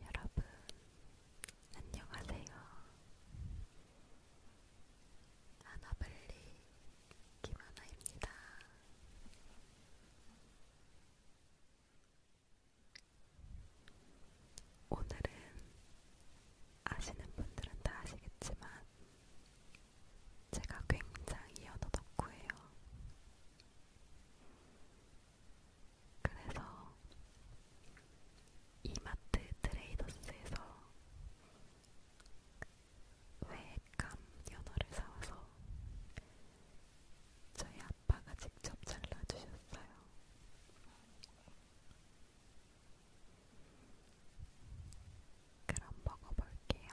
여러분, 안녕하세요. 아나블리 김하나입니다. 오늘은 아시는 분들은 다 아시겠지만 제가 굉장히 연어 덕후예요. 그래서 이마트 트레이더스에서 외감 연어를 사와서 저희 아빠가 직접 잘라주셨어요. 그럼 먹어볼게요.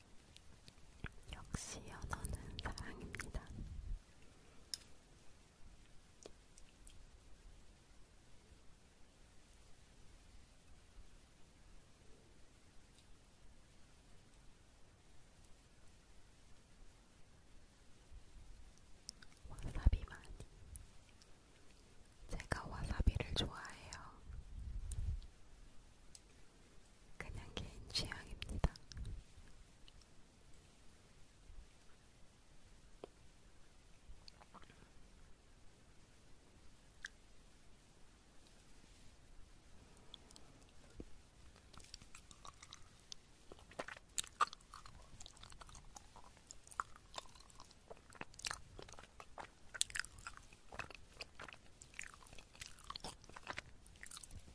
역시 연어는 사랑입니다. 와사비 많이. 제가 와사비를 좋아해요. 그냥 개인 취향입니다.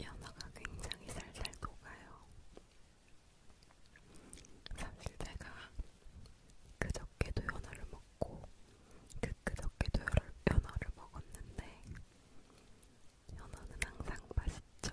연어가 굉장히 살살 녹아요. 사실 제가 그저께도 연어를 먹고 그 그저께도 연어를 먹었는데 연어는 항상 맛있죠.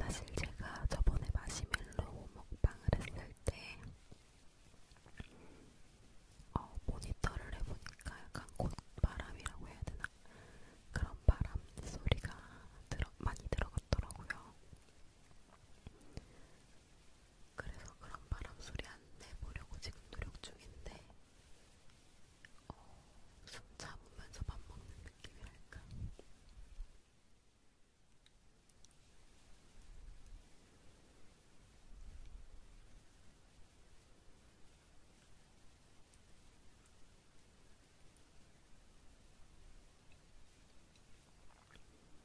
사실 제가 저번에 마시멜로 먹방을 했을 때 어, 모니터를 해보니까 약간 곧바람이라고 해야 되나? 그런 바람 소리가 들어, 많이 들어갔더라고요. 그래서 그런 바람 소리 안 내보려고 지금 노력 중인데 어, 숨 참으면서 밥 먹는 느낌이랄까.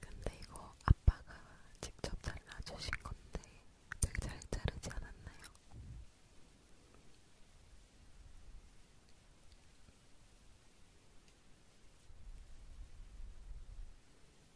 근데 이거 아빠가 직접 잘라주신 건데 되게 잘 자르지 않았나요?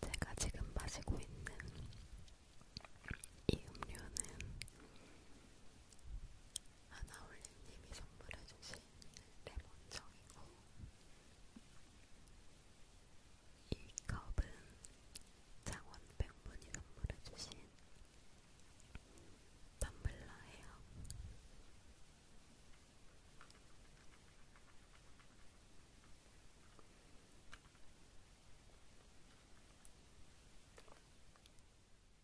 제가 지금 마시고 있는 이 음료는 하나올림님이 선물해주신 레몬청이고 이 컵은 장원백분이 선물해주신 텀블러예요.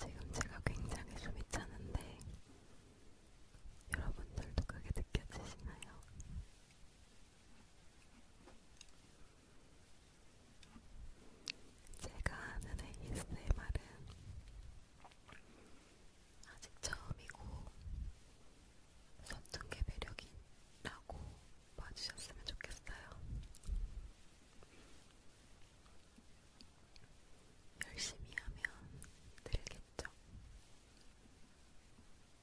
지금 제가 굉장히 숨이 차는데 여러분들도 그게 느껴지시나요? 제가 하는 ASMR은 아직 처음이고 선둥개 매력이라고 봐주셨으면 좋겠어요. 열심히 하면 들겠죠.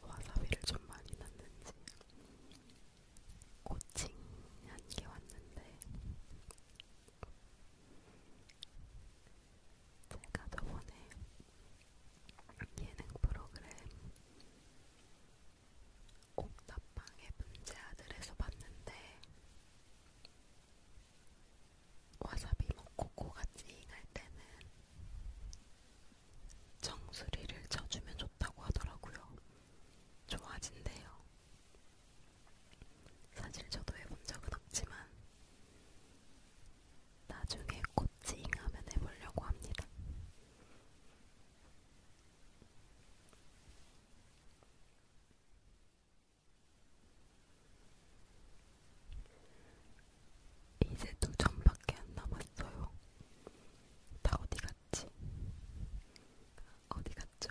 와사비를 좀 많이 넣는지 고칭 한게 왔는데 제가 저번에 예능 프로그램 옥탑방의 문제아들에서 봤는데 와사비 먹고 코가 찡할 때는 정수리를 쳐주면 좋다고 하더라고요. 좋아진대요. 사실 저도 해본 적은 없지만 나중에 꽃 찡하면 해보려고 합니다. 이제 두 점밖에 안 남았어요. 다 어디 갔지? 어디 갔죠?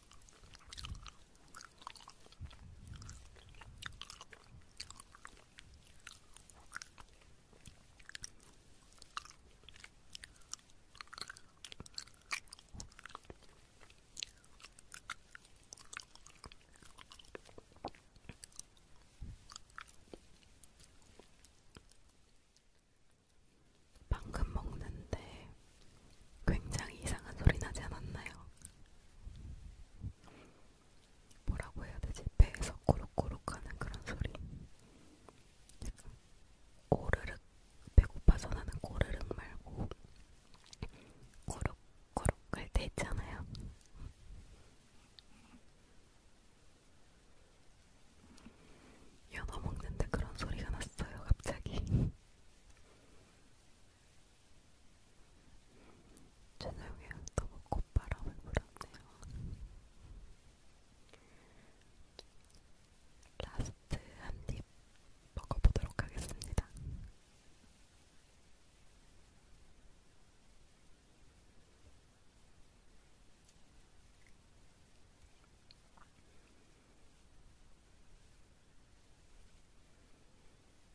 방금 먹는데 굉장히 이상한 소리 나지 않았나요? 뭐라고 해야 되지? 배에서 꼬룩꼬룩 하는 그런 소리. 약간 꼬르륵, 배고파서 나는 꼬르륵 말고 꼬룩꼬룩 할때 있잖아요. 연어 먹는데 그런 소리가 났어요, 갑자기. 저녁에 너무 콧바람을 불었네요. 라스트 한 입 먹어보도록 하겠습니다.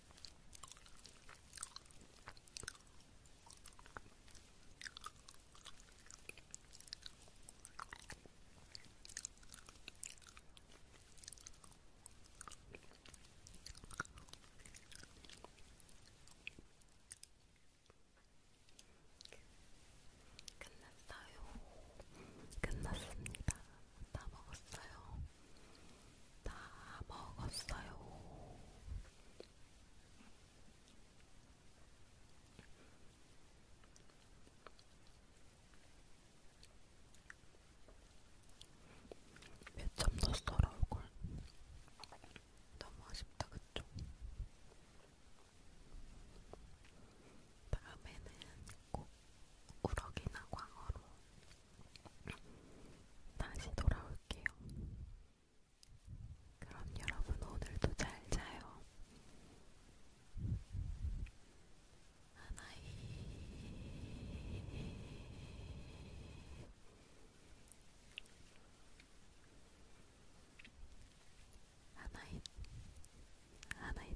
끝났어요. 끝났습니다. 다 먹었어요. 다 먹었어요. 몇점 넣었더라 얼굴 너무 아쉽다 그쵸? 다음에는 꼭 우럭이나 광어로 다시 돌아올게요. 그럼 여러분 오늘도 잘 자요. 하나이 하나이 하나이